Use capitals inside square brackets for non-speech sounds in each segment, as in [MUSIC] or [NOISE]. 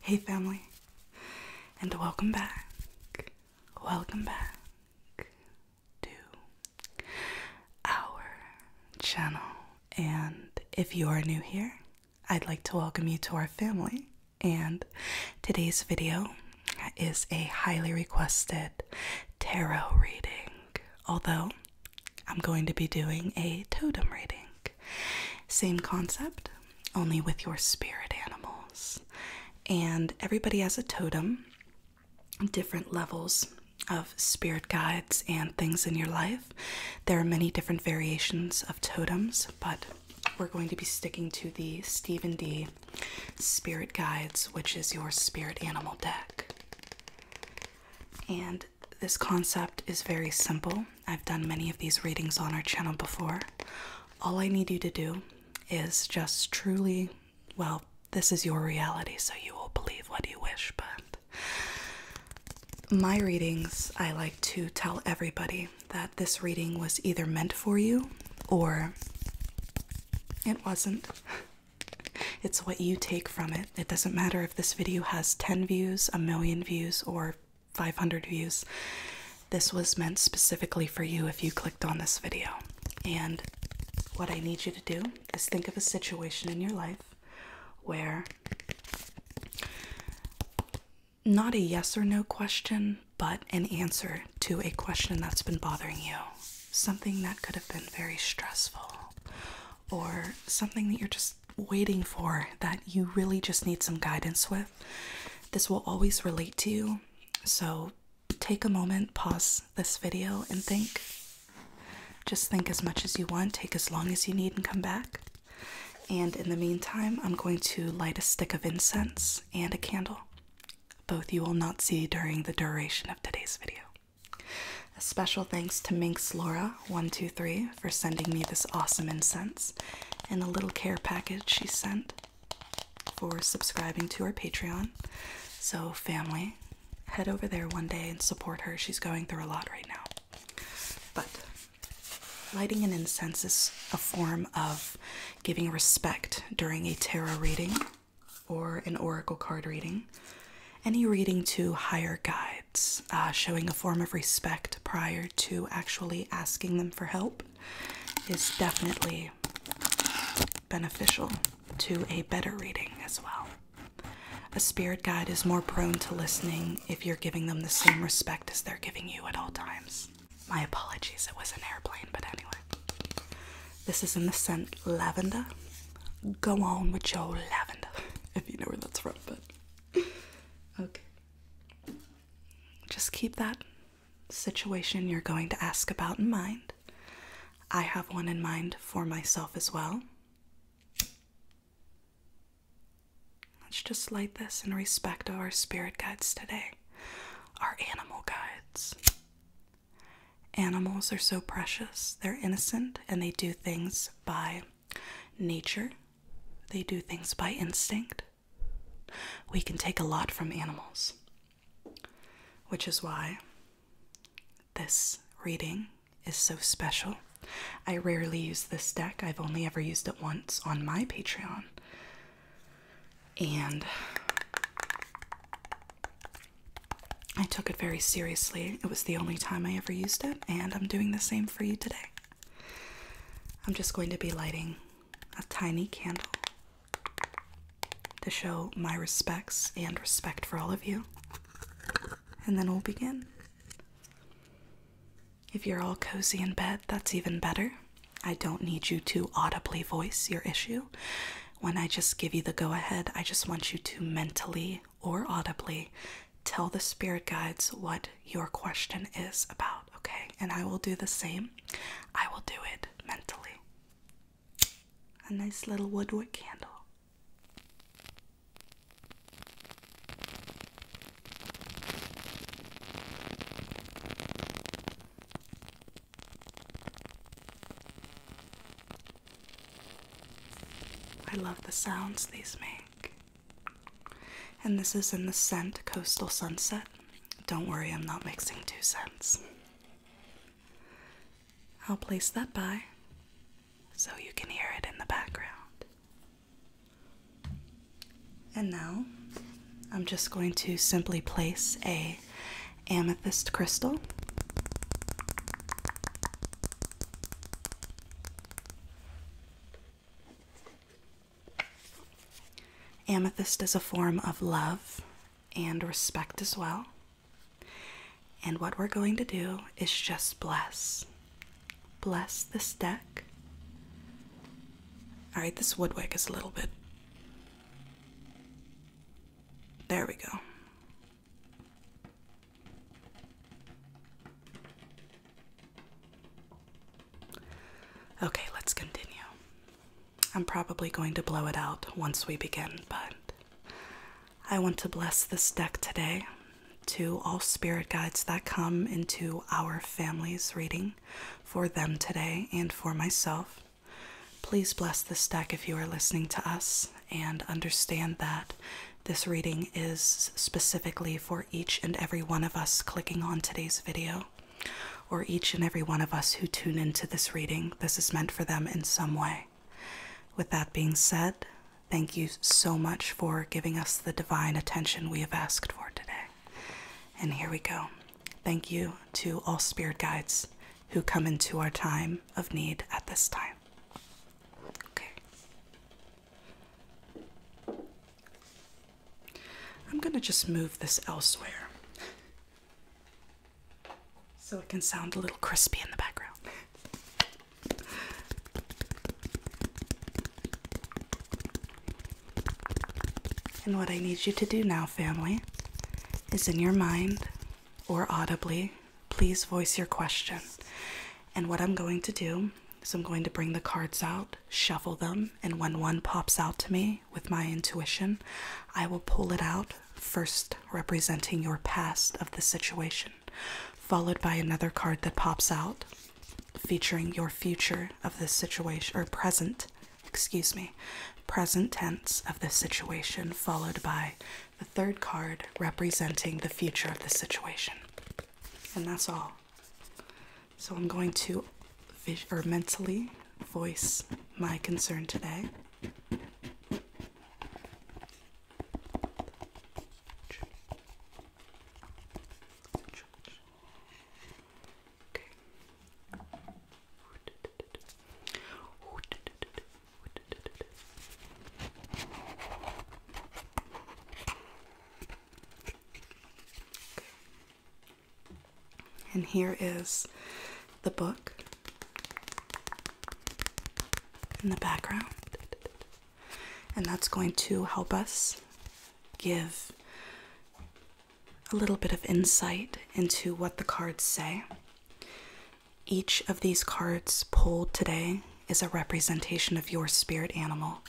Hey, family, and welcome back. Welcome back to our channel. And if you are new here, I'd like to welcome you to our family. And today's video is a highly requested tarot reading, although I'm going to be doing a totem reading. Same concept, only with your spirit animals. And everybody has a totem, different levels of spirit guides and things in your life. There are many different variations of totems, but we're going to be sticking to the Stephen D. Spirit Guides, which is your spirit animal deck. And this concept is very simple. I've done many of these readings on our channel before. All I need you to do is just truly, well, this is your reality, so you will believe what you wish. But my readings, I like to tell everybody that this reading was either meant for you or it wasn't. [LAUGHS] It's what you take from it. It doesn't matter if this video has 10 views, a million views, or 500 views. This was meant specifically for you if you clicked on this video. And what I need you to do is think of a situation in your life where not a yes or no question, but an answer to a question that's been bothering you. Something that could have been very stressful, or something that you're just waiting for that you really just need some guidance with. This will always relate to you. So take a moment, pause this video, and think. Just think as much as you want, take as long as you need, and come back. And in the meantime, I'm going to light a stick of incense and a candle. Both you will not see during the duration of today's video. A special thanks to Minx Laura123 for sending me this awesome incense and the little care package she sent for subscribing to our Patreon. So, family, head over there one day and support her. She's going through a lot right now. But lighting an incense is a form of giving respect during a tarot reading or an oracle card reading. Any reading to higher guides uh, showing a form of respect prior to actually asking them for help is definitely beneficial to a better reading as well. A spirit guide is more prone to listening if you're giving them the same respect as they're giving you at all times. My apologies, it was an airplane, but anyway. This is in the scent lavender. Go on with your lavender, [LAUGHS] if you know where that's from, but. [LAUGHS] Okay. Just keep that situation you're going to ask about in mind. I have one in mind for myself as well. Let's just light this in respect of our spirit guides today, our animal guides. Animals are so precious, they're innocent, and they do things by nature they do things by instinct. We can take a lot from animals, which is why this reading is so special. I rarely use this deck, I've only ever used it once on my Patreon. And I took it very seriously. It was the only time I ever used it, and I'm doing the same for you today. I'm just going to be lighting a tiny candle to show my respects and respect for all of you. And then we'll begin. If you're all cozy in bed, that's even better. I don't need you to audibly voice your issue. When I just give you the go ahead, I just want you to mentally or audibly tell the spirit guides what your question is about, okay? And I will do the same. I will do it mentally. A nice little woodwick candle. I love the sounds these make. And this is in the scent Coastal Sunset. Don't worry, I'm not mixing two scents. I'll place that by so you can hear it in the background. And now I'm just going to simply place a amethyst crystal Amethyst is a form of love and respect as well. And what we're going to do is just bless. Bless this deck. Alright, this woodwork is a little bit. There we go. Okay, let's continue. I'm probably going to blow it out once we begin, but I want to bless this deck today to all spirit guides that come into our family's reading for them today and for myself. Please bless this deck if you are listening to us and understand that this reading is specifically for each and every one of us clicking on today's video, or each and every one of us who tune into this reading. This is meant for them in some way. With that being said, thank you so much for giving us the divine attention we have asked for today. And here we go. Thank you to all spirit guides who come into our time of need at this time. Okay. I'm gonna just move this elsewhere so it can sound a little crispy in the background. And what I need you to do now, family, is in your mind or audibly, please voice your question. And what I'm going to do is I'm going to bring the cards out shuffle them, and when one pops out to me with my intuition, I will pull it out, first representing your past of the situation, followed by another card that pops out featuring your future of this situation or present, excuse me, present tense of the situation, followed by the third card representing the future of the situation. And that's all. So I'm going to vis or mentally voice my concern today. And here is the book in the background. And that's going to help us give a little bit of insight into what the cards say. Each of these cards pulled today is a representation of your spirit animal.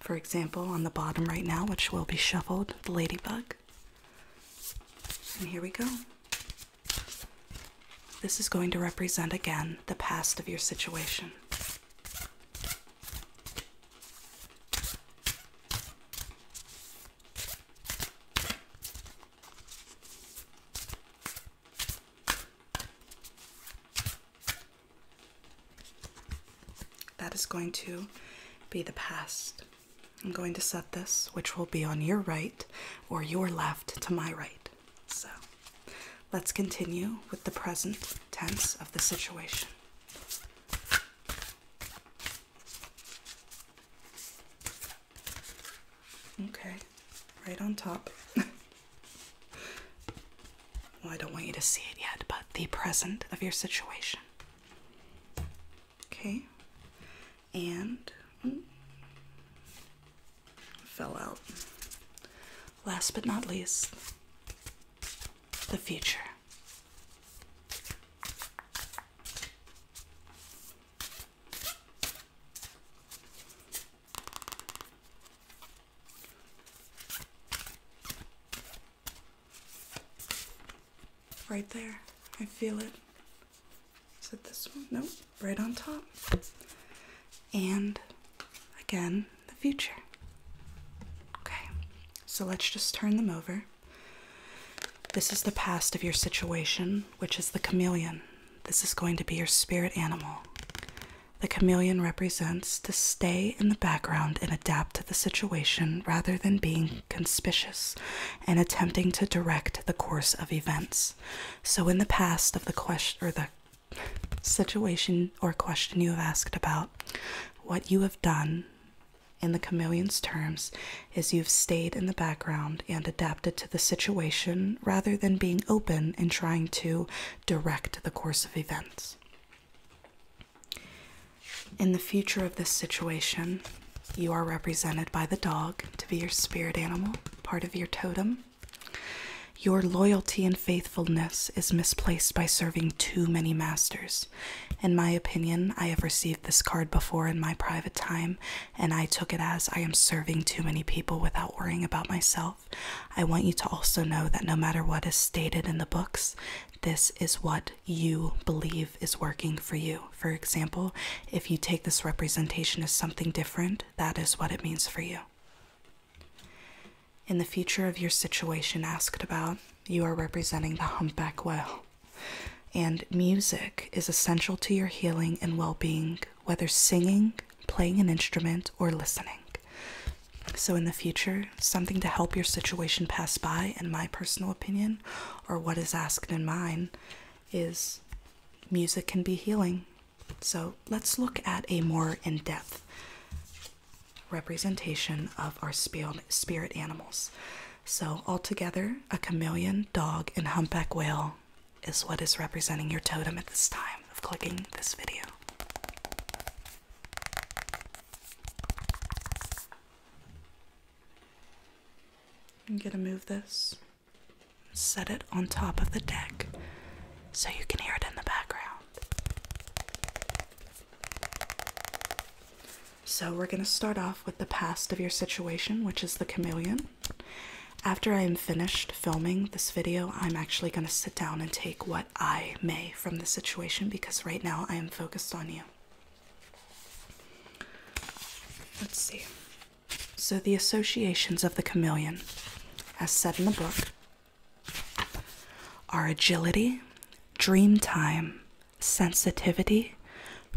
For example, on the bottom right now, which will be shuffled, the ladybug. And here we go. This is going to represent again the past of your situation. That is going to be the past. I'm going to set this, which will be on your right or your left to my right. So let's continue with the present tense of the situation. Okay, right on top. [LAUGHS] Well, I don't want you to see it yet, but the present of your situation. Okay. And hmm, fell out. Last but not least, the future. Right there. I feel it. Is it this one? Nope. Right on top. And again, the future. Okay, so let's just turn them over. This is the past of your situation, which is the chameleon. This is going to be your spirit animal. The chameleon represents to stay in the background and adapt to the situation rather than being conspicuous and attempting to direct the course of events. So in the past of the question or the situation or question you have asked about, what you have done in the chameleon's terms is you've stayed in the background and adapted to the situation rather than being open and trying to direct the course of events. In the future of this situation, you are represented by the dog to be your spirit animal, part of your totem. Your loyalty and faithfulness is misplaced by serving too many masters. In my opinion, I have received this card before in my private time, and I took it as I am serving too many people without worrying about myself. I want you to also know that no matter what is stated in the books, this is what you believe is working for you. For example, if you take this representation as something different, that is what it means for you. In the future of your situation asked about, you are representing the humpback whale. And music is essential to your healing and well being, whether singing, playing an instrument, or listening. So, in the future, something to help your situation pass by, in my personal opinion, or what is asked in mine, is music can be healing. So, let's look at a more in depth representation of our spirit animals. So, altogether, a chameleon, dog, and humpback whale is what is representing your totem at this time of clicking this video. I'm gonna move this, set it on top of the deck so you can hear it in the background. So, we're gonna start off with the past of your situation, which is the chameleon. After I am finished filming this video, I'm actually gonna sit down and take what I may from the situation because right now I am focused on you. Let's see. So, the associations of the chameleon, as said in the book, are agility, dream time, sensitivity,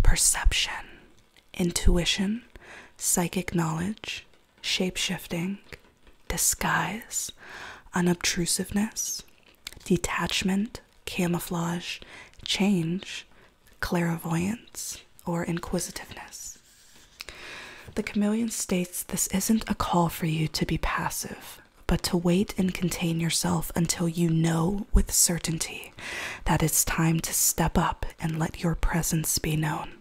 perception, intuition, psychic knowledge, shapeshifting disguise, unobtrusiveness, detachment, camouflage, change, clairvoyance, or inquisitiveness. The chameleon states this isn't a call for you to be passive, but to wait and contain yourself until you know with certainty that it's time to step up and let your presence be known.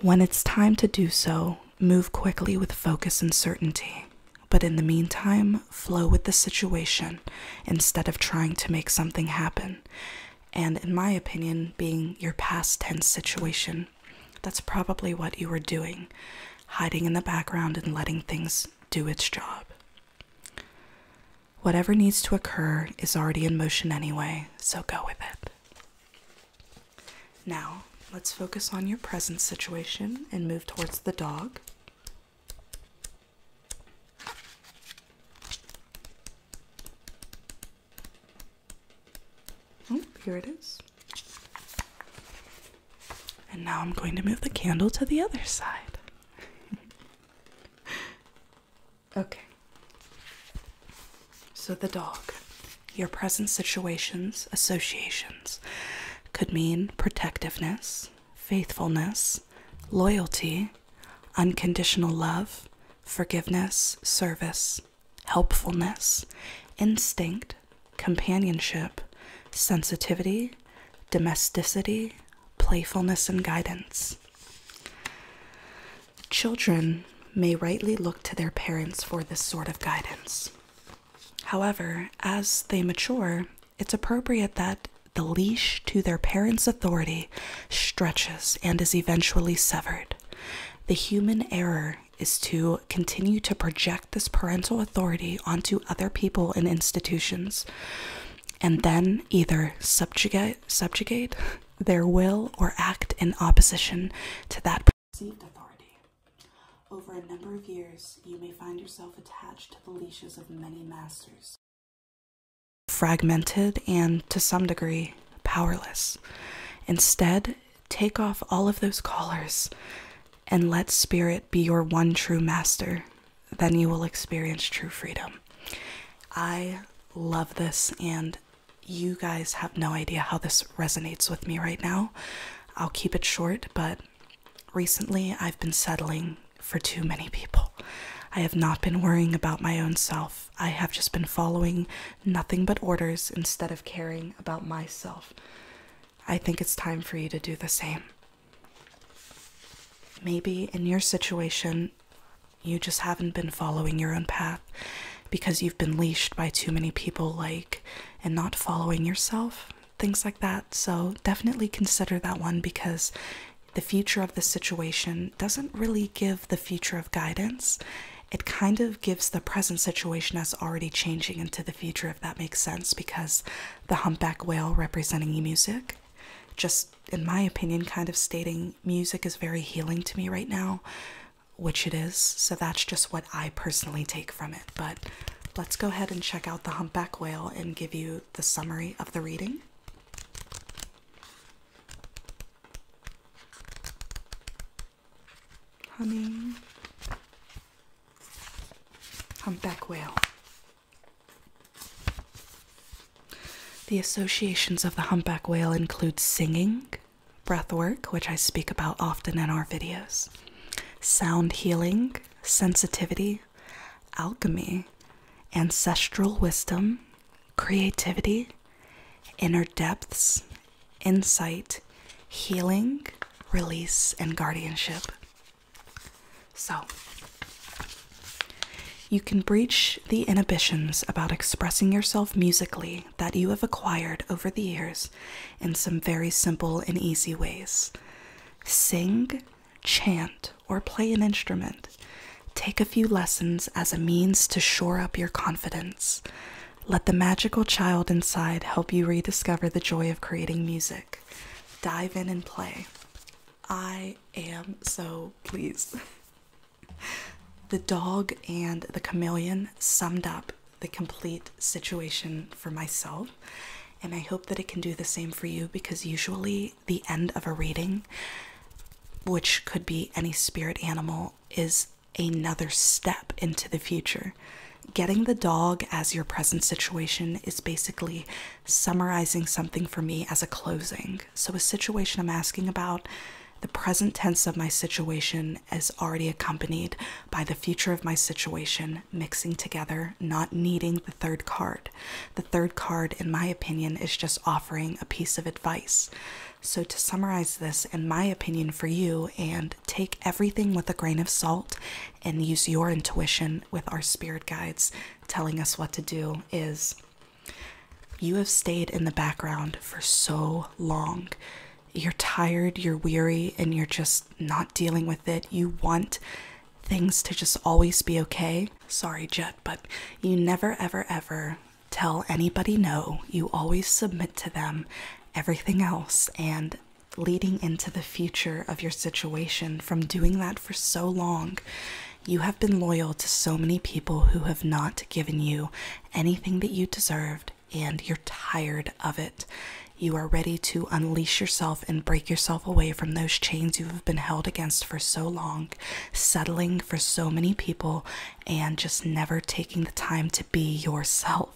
When it's time to do so, move quickly with focus and certainty, but in the meantime, flow with the situation instead of trying to make something happen. And in my opinion, being your past tense situation, that's probably what you were doing, hiding in the background and letting things do its job. Whatever needs to occur is already in motion anyway, so go with it. Now, let's focus on your present situation and move towards the dog. Oh, here it is. And now I'm going to move the candle to the other side. [LAUGHS] okay. So the dog. Your present situation's associations could mean protectiveness, faithfulness, loyalty, unconditional love, forgiveness, service, helpfulness, instinct, companionship, sensitivity, domesticity, playfulness, and guidance. Children may rightly look to their parents for this sort of guidance. However, as they mature, it's appropriate that the leash to their parents' authority stretches and is eventually severed. The human error is to continue to project this parental authority onto other people and institutions and then either subjugate subjugate [LAUGHS] their will or act in opposition to that received authority. Over a number of years, you may find yourself attached to the leashes of many masters. Fragmented and, to some degree, powerless. Instead, take off all of those collars and let spirit be your one true master. Then you will experience true freedom. I love this, and you guys have no idea how this resonates with me right now. I'll keep it short, but recently I've been settling for too many people. I have not been worrying about my own self. I have just been following nothing but orders instead of caring about myself. I think it's time for you to do the same. Maybe in your situation, you just haven't been following your own path because you've been leashed by too many people like and not following yourself, things like that. So, definitely consider that one because the future of the situation doesn't really give the future of guidance. It kind of gives the present situation as already changing into the future, if that makes sense, because the humpback whale representing music, just in my opinion, kind of stating music is very healing to me right now which it is. So that's just what I personally take from it. But let's go ahead and check out the humpback whale and give you the summary of the reading. Honey. Humpback whale. The associations of the humpback whale include singing, breath work, which I speak about often in our videos, sound healing, sensitivity, alchemy, ancestral wisdom, creativity, inner depths, insight, healing, release, and guardianship. So, you can breach the inhibitions about expressing yourself musically that you have acquired over the years in some very simple and easy ways. Sing, chant, or play an instrument. Take a few lessons as a means to shore up your confidence. Let the magical child inside help you rediscover the joy of creating music. Dive in and play. I am so pleased. [LAUGHS] The dog and the chameleon summed up the complete situation for myself. And I hope that it can do the same for you because usually the end of a reading, which could be any spirit animal, is another step into the future. Getting the dog as your present situation is basically summarizing something for me as a closing. So, a situation I'm asking about, the present tense of my situation as already accompanied by the future of my situation mixing together, not needing the third card. The third card, in my opinion, is just offering a piece of advice. So, to summarize this, in my opinion, for you, and take everything with a grain of salt and use your intuition with our spirit guides telling us what to do, is you have stayed in the background for so long you're tired, you're weary, and you're just not dealing with it. You want things to just always be okay. Sorry, Jet, but you never, ever, ever tell anybody no. You always submit to them everything else. And leading into the future of your situation from doing that for so long, you have been loyal to so many people who have not given you anything that you deserved and you're tired of it. You are ready to unleash yourself and break yourself away from those chains you have been held against for so long, settling for so many people, and just never taking the time to be yourself.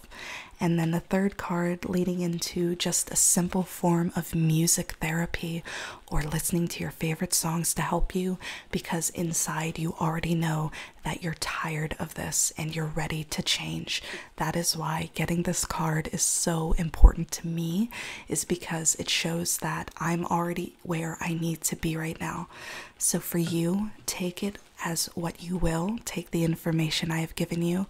And then the third card leading into just a simple form of music therapy or listening to your favorite songs to help you because inside you already know that you're tired of this and you're ready to change. That is why getting this card is so important to me is because it shows that I'm already where I need to be right now. So for you, take it as what you will. Take the information I have given you,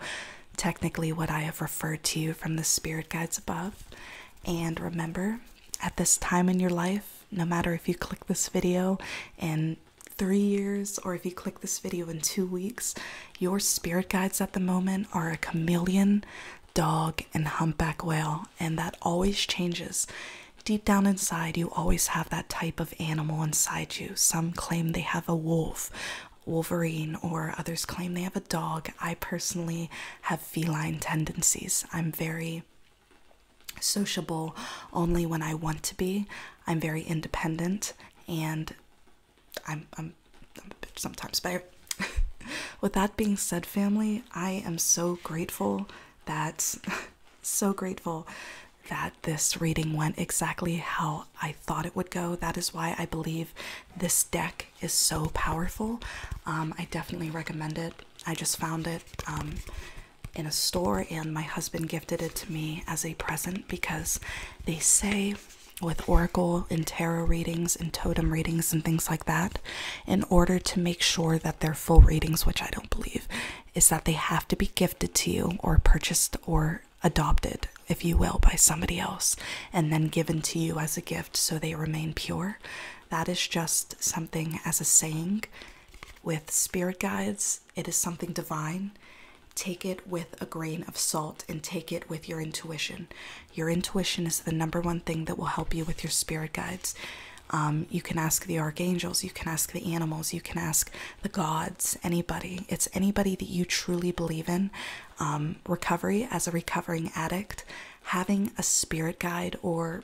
technically what I have referred to you from the spirit guides above. And remember, at this time in your life, no matter if you click this video and three years, or if you click this video in two weeks, your spirit guides at the moment are a chameleon, dog, and humpback whale, and that always changes. Deep down inside, you always have that type of animal inside you. Some claim they have a wolf, wolverine, or others claim they have a dog. I personally have feline tendencies. I'm very sociable only when I want to be. I'm very independent and I'm I'm, I'm a bitch sometimes. But [LAUGHS] with that being said, family, I am so grateful that [LAUGHS] so grateful that this reading went exactly how I thought it would go. That is why I believe this deck is so powerful. Um, I definitely recommend it. I just found it um, in a store, and my husband gifted it to me as a present because they say with oracle and tarot readings and totem readings and things like that, in order to make sure that they're full readings, which I don't believe, is that they have to be gifted to you or purchased or adopted, if you will, by somebody else and then given to you as a gift so they remain pure. That is just something as a saying with spirit guides it is something divine, take it with a grain of salt and take it with your intuition. Your intuition is the number one thing that will help you with your spirit guides. Um, you can ask the archangels, you can ask the animals, you can ask the gods, anybody. It's anybody that you truly believe in. Um, recovery, as a recovering addict, having a spirit guide or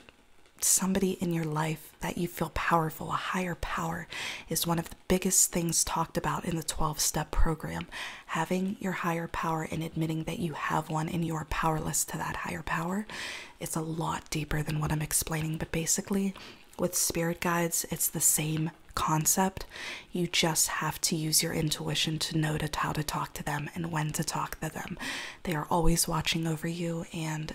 somebody in your life that you feel powerful, a higher power, is one of biggest things talked about in the 12 step program. Having your higher power and admitting that you have one and you are powerless to that higher power. It's a lot deeper than what I'm explaining, but basically, with spirit guides, it's the same concept. You just have to use your intuition to know how to talk to them and when to talk to them. They are always watching over you, and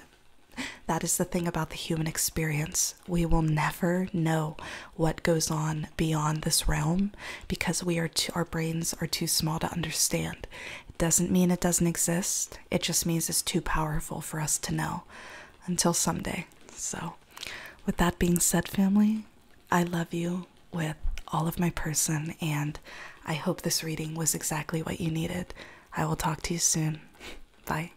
that is the thing about the human experience we will never know what goes on beyond this realm because we are our brains are too small to understand. It doesn't mean it doesn't exist. It just means it's too powerful for us to know until someday. So, with that being said, family, I love you with all of my person, and I hope this reading was exactly what you needed. I will talk to you soon. Bye.